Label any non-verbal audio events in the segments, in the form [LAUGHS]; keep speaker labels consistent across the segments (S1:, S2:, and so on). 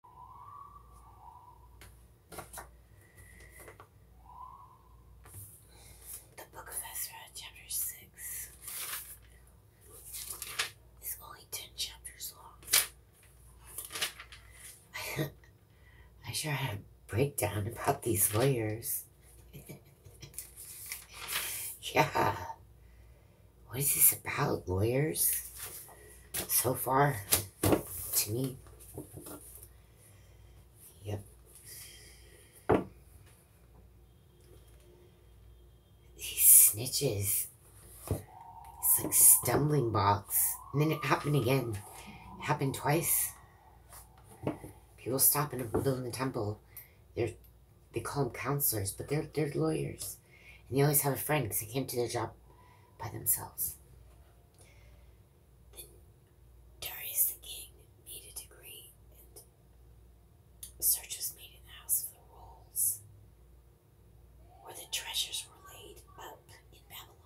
S1: The book of Ezra, chapter 6, is only 10 chapters
S2: long. [LAUGHS] I sure had a breakdown about these lawyers. [LAUGHS] yeah. What is this about, lawyers? so far to me. Yep. These snitches. It's like stumbling blocks. And then it happened again. It happened twice. People stop in a building a temple. They're they call them counselors, but they're they're lawyers. And they always have a friend because they came to their job by themselves. Then Darius
S1: the king made a decree, and search was made in the house of the rolls, where the treasures were laid up in Babylon.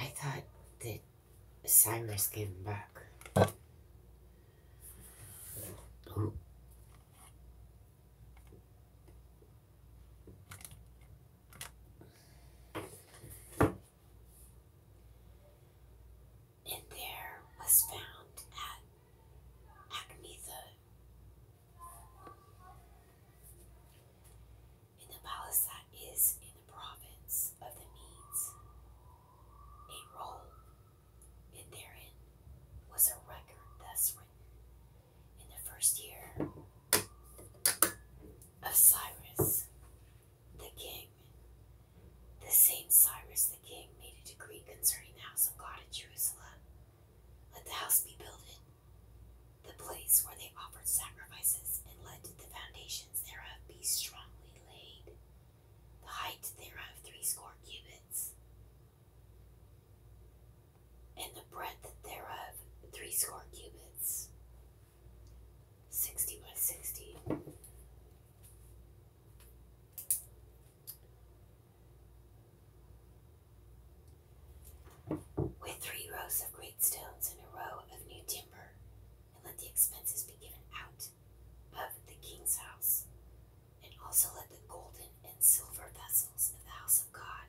S1: I thought that Cyrus
S2: gave them back.
S1: And there was found at Acmetha in the palace that is in the province of the Medes a roll and therein was a record thus written in the first year of Cyrus the king. The same Cyrus the king made a decree concerning the house of God at Jerusalem. Let the house be builded, the place where they offered sacrifices, and let the foundations thereof be strongly laid the height thereof score cubits, and the breadth thereof three score cubits, sixty by sixty. With three rows of great stones and a row of new timber, and let the expenses be given out of the king's house, and also let the golden and silver vessels of the house of God,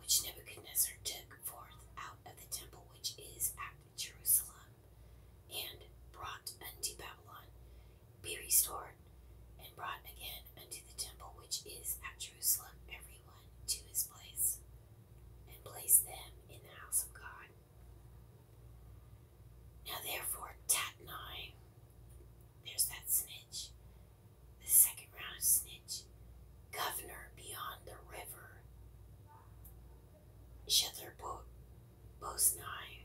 S1: which Nebuchadnezzar took forth out of the temple which is at Jerusalem, and brought unto Babylon, be restored, and brought again unto the temple which is at Jerusalem, everyone to his place, and place them in the house of God. Now, therefore, tat nine. There's that snitch. The second round of snitch. Governor beyond the river. Shether Bo- Bosnai.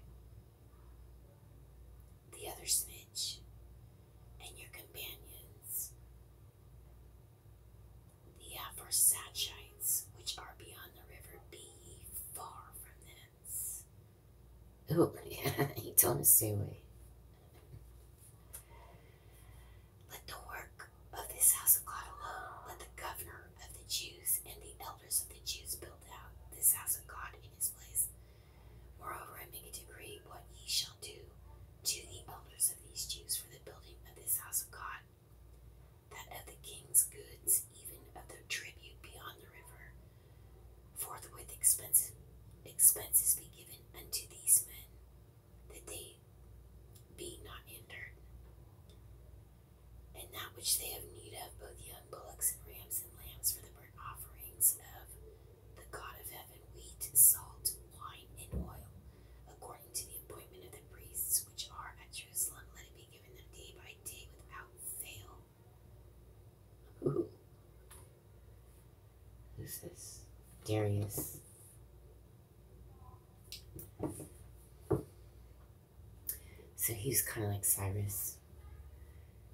S1: The other snitch. And your companions. The Aphrosachites, which are beyond the river, be far from thence. Ooh, [LAUGHS] he told him to Let the work of this house of God alone. Let the governor of the Jews and the elders of the Jews build out this house of God in his place. Moreover, I make a decree what ye shall do to the elders of these Jews for the building of this house of God, that of the king's goods, even of the tribute beyond the river, Forthwith expenses, expenses be given unto these men, that they be not hindered. And that which they have need of, both young bullocks and rams and lambs for the burnt offerings of the God of heaven, wheat, salt, wine, and oil, according to the appointment of the priests which are at Jerusalem, let it be given them day by day without fail. Who's this?
S2: Darius. So he's kind of like Cyrus.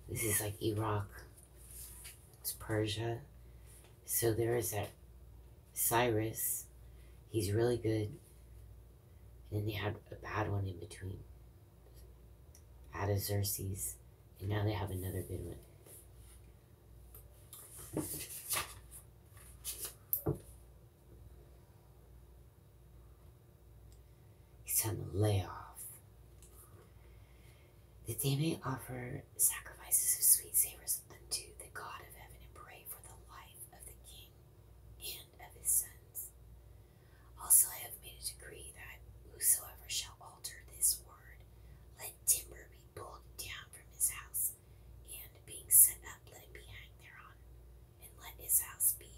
S2: This is like Iraq. It's Persia. So there is that Cyrus. He's really good. And then they had a bad one in between. Out of Xerxes. And now they have another good one. It's time to lay off.
S1: That they offer sacrifices of sweet savors unto the God of heaven and pray for the life of the king and of his sons, also, I have made a decree that whosoever shall alter this word, let timber be pulled down from his house, and being set up, let it be hanged thereon, and let his house be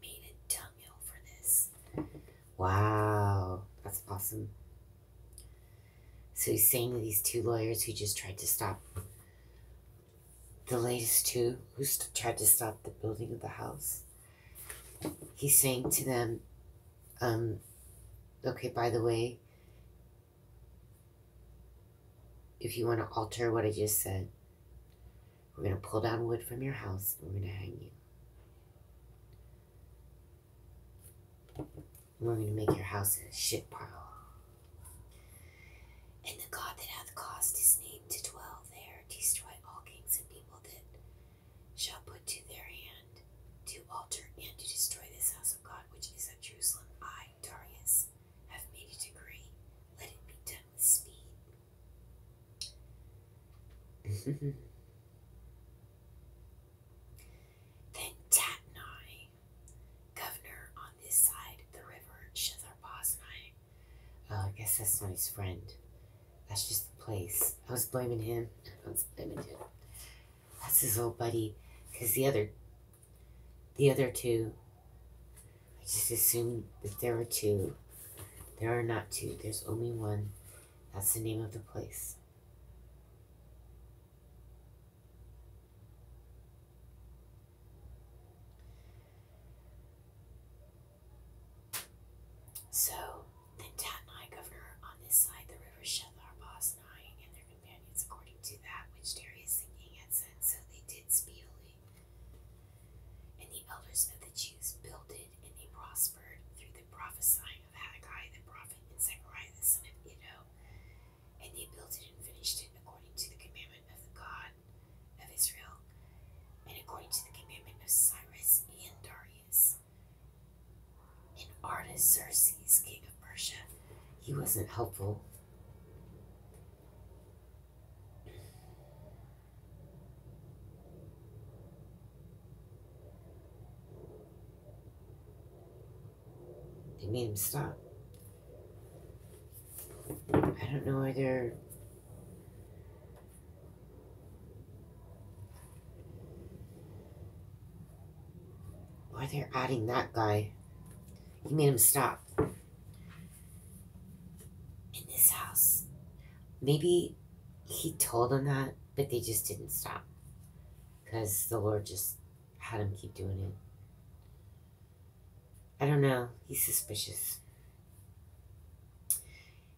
S1: made a dunghill
S2: for this. Wow, that's awesome. So he's saying to these two lawyers who just tried to stop the latest two who tried to stop the building of the house he's saying to them, um, okay, by the way, if you want to alter what I just said, we're going to pull down wood from your house and we're going to hang you. we're going to make your house a shit pile. And the God
S1: that hath caused his name to dwell there, destroy all kings and people." that shall put to their hand to alter and to destroy this house of God which is at Jerusalem. I, Darius, have made it agree. Let it be
S2: done with speed. [LAUGHS] then
S1: Tatnai, governor on this side the river, Shethar
S2: Oh, I guess that's not his friend. That's just the place. I was blaming him. I was blaming him. That's his old buddy. Because the other, the other two, I just assumed that there were two. There are not two. There's only one. That's the name of the place.
S1: So then Tatnai, governor on this side the river, Shethar, Bosnai, and their companions, according to that which Darius the king had sent, so they did speedily. And the elders of the Jews builded, and they prospered through the prophesying of Haggai the prophet and Zechariah the son of Iddo. And they built it and finished it according to the commandment of the God of Israel, and according to the commandment of Cyrus and Darius. And Artaxerxes, king of Persia,
S2: he wasn't helpful. They made him stop. I don't know why they're why they're adding that guy. You made him stop. In this house. Maybe he told them that, but they just didn't stop. Because the Lord just had him keep doing it. I don't know. He's suspicious.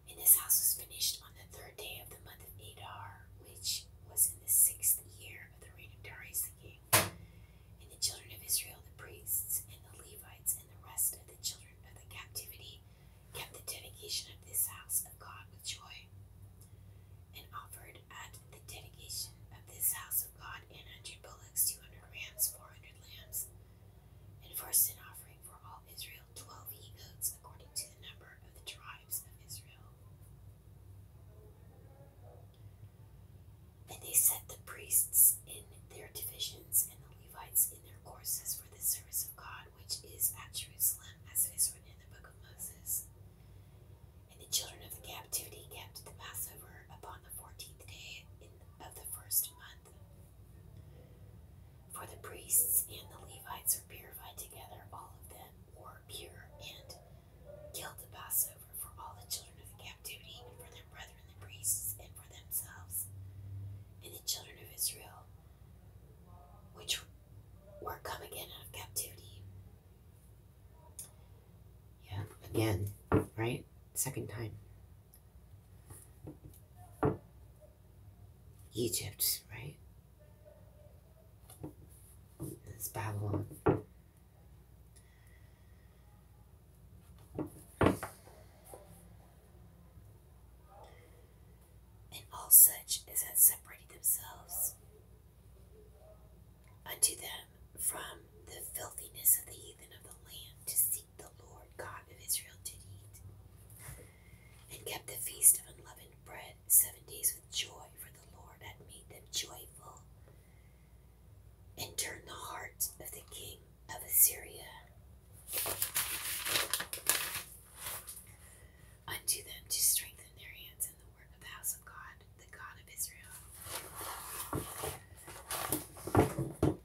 S2: And this house was finished on the third day
S1: of the month of Adar, which was in the sixth year of the reign of Darius the king. And the children of Israel, the priests, and the Levites, and the rest of the children of the captivity, kept the dedication of this house of God with joy, and offered at the dedication of this house of God an hundred bullocks, two hundred rams, four hundred lambs, and for a sin offering for all Israel twelve he goats according to the number of the tribes of Israel. And they set the priests in their divisions and the Levites in their courses for the service of God, which is at Jerusalem, as it is written in the book of Moses. And the children of the captivity kept the Passover upon the fourteenth day of the first month. For the priests and the Levites were purified together, all of them were pure, and killed the Passover for all the children of the captivity, and for their brethren the priests, and for themselves, and the children of Israel, which were come again out of captivity.
S2: Yeah, again, right? Second time. Egypt, right? It's Babylon. And
S1: all such as had separated themselves unto them from the filthiness of the heathen of the land to seek the Lord God of Israel did eat, and kept the feast of unleavened bread seven days with joy, for the Lord had made them joyful, and turned the heart of the king of Assyria unto them to strengthen their hands in the work of the house of God, the God of Israel.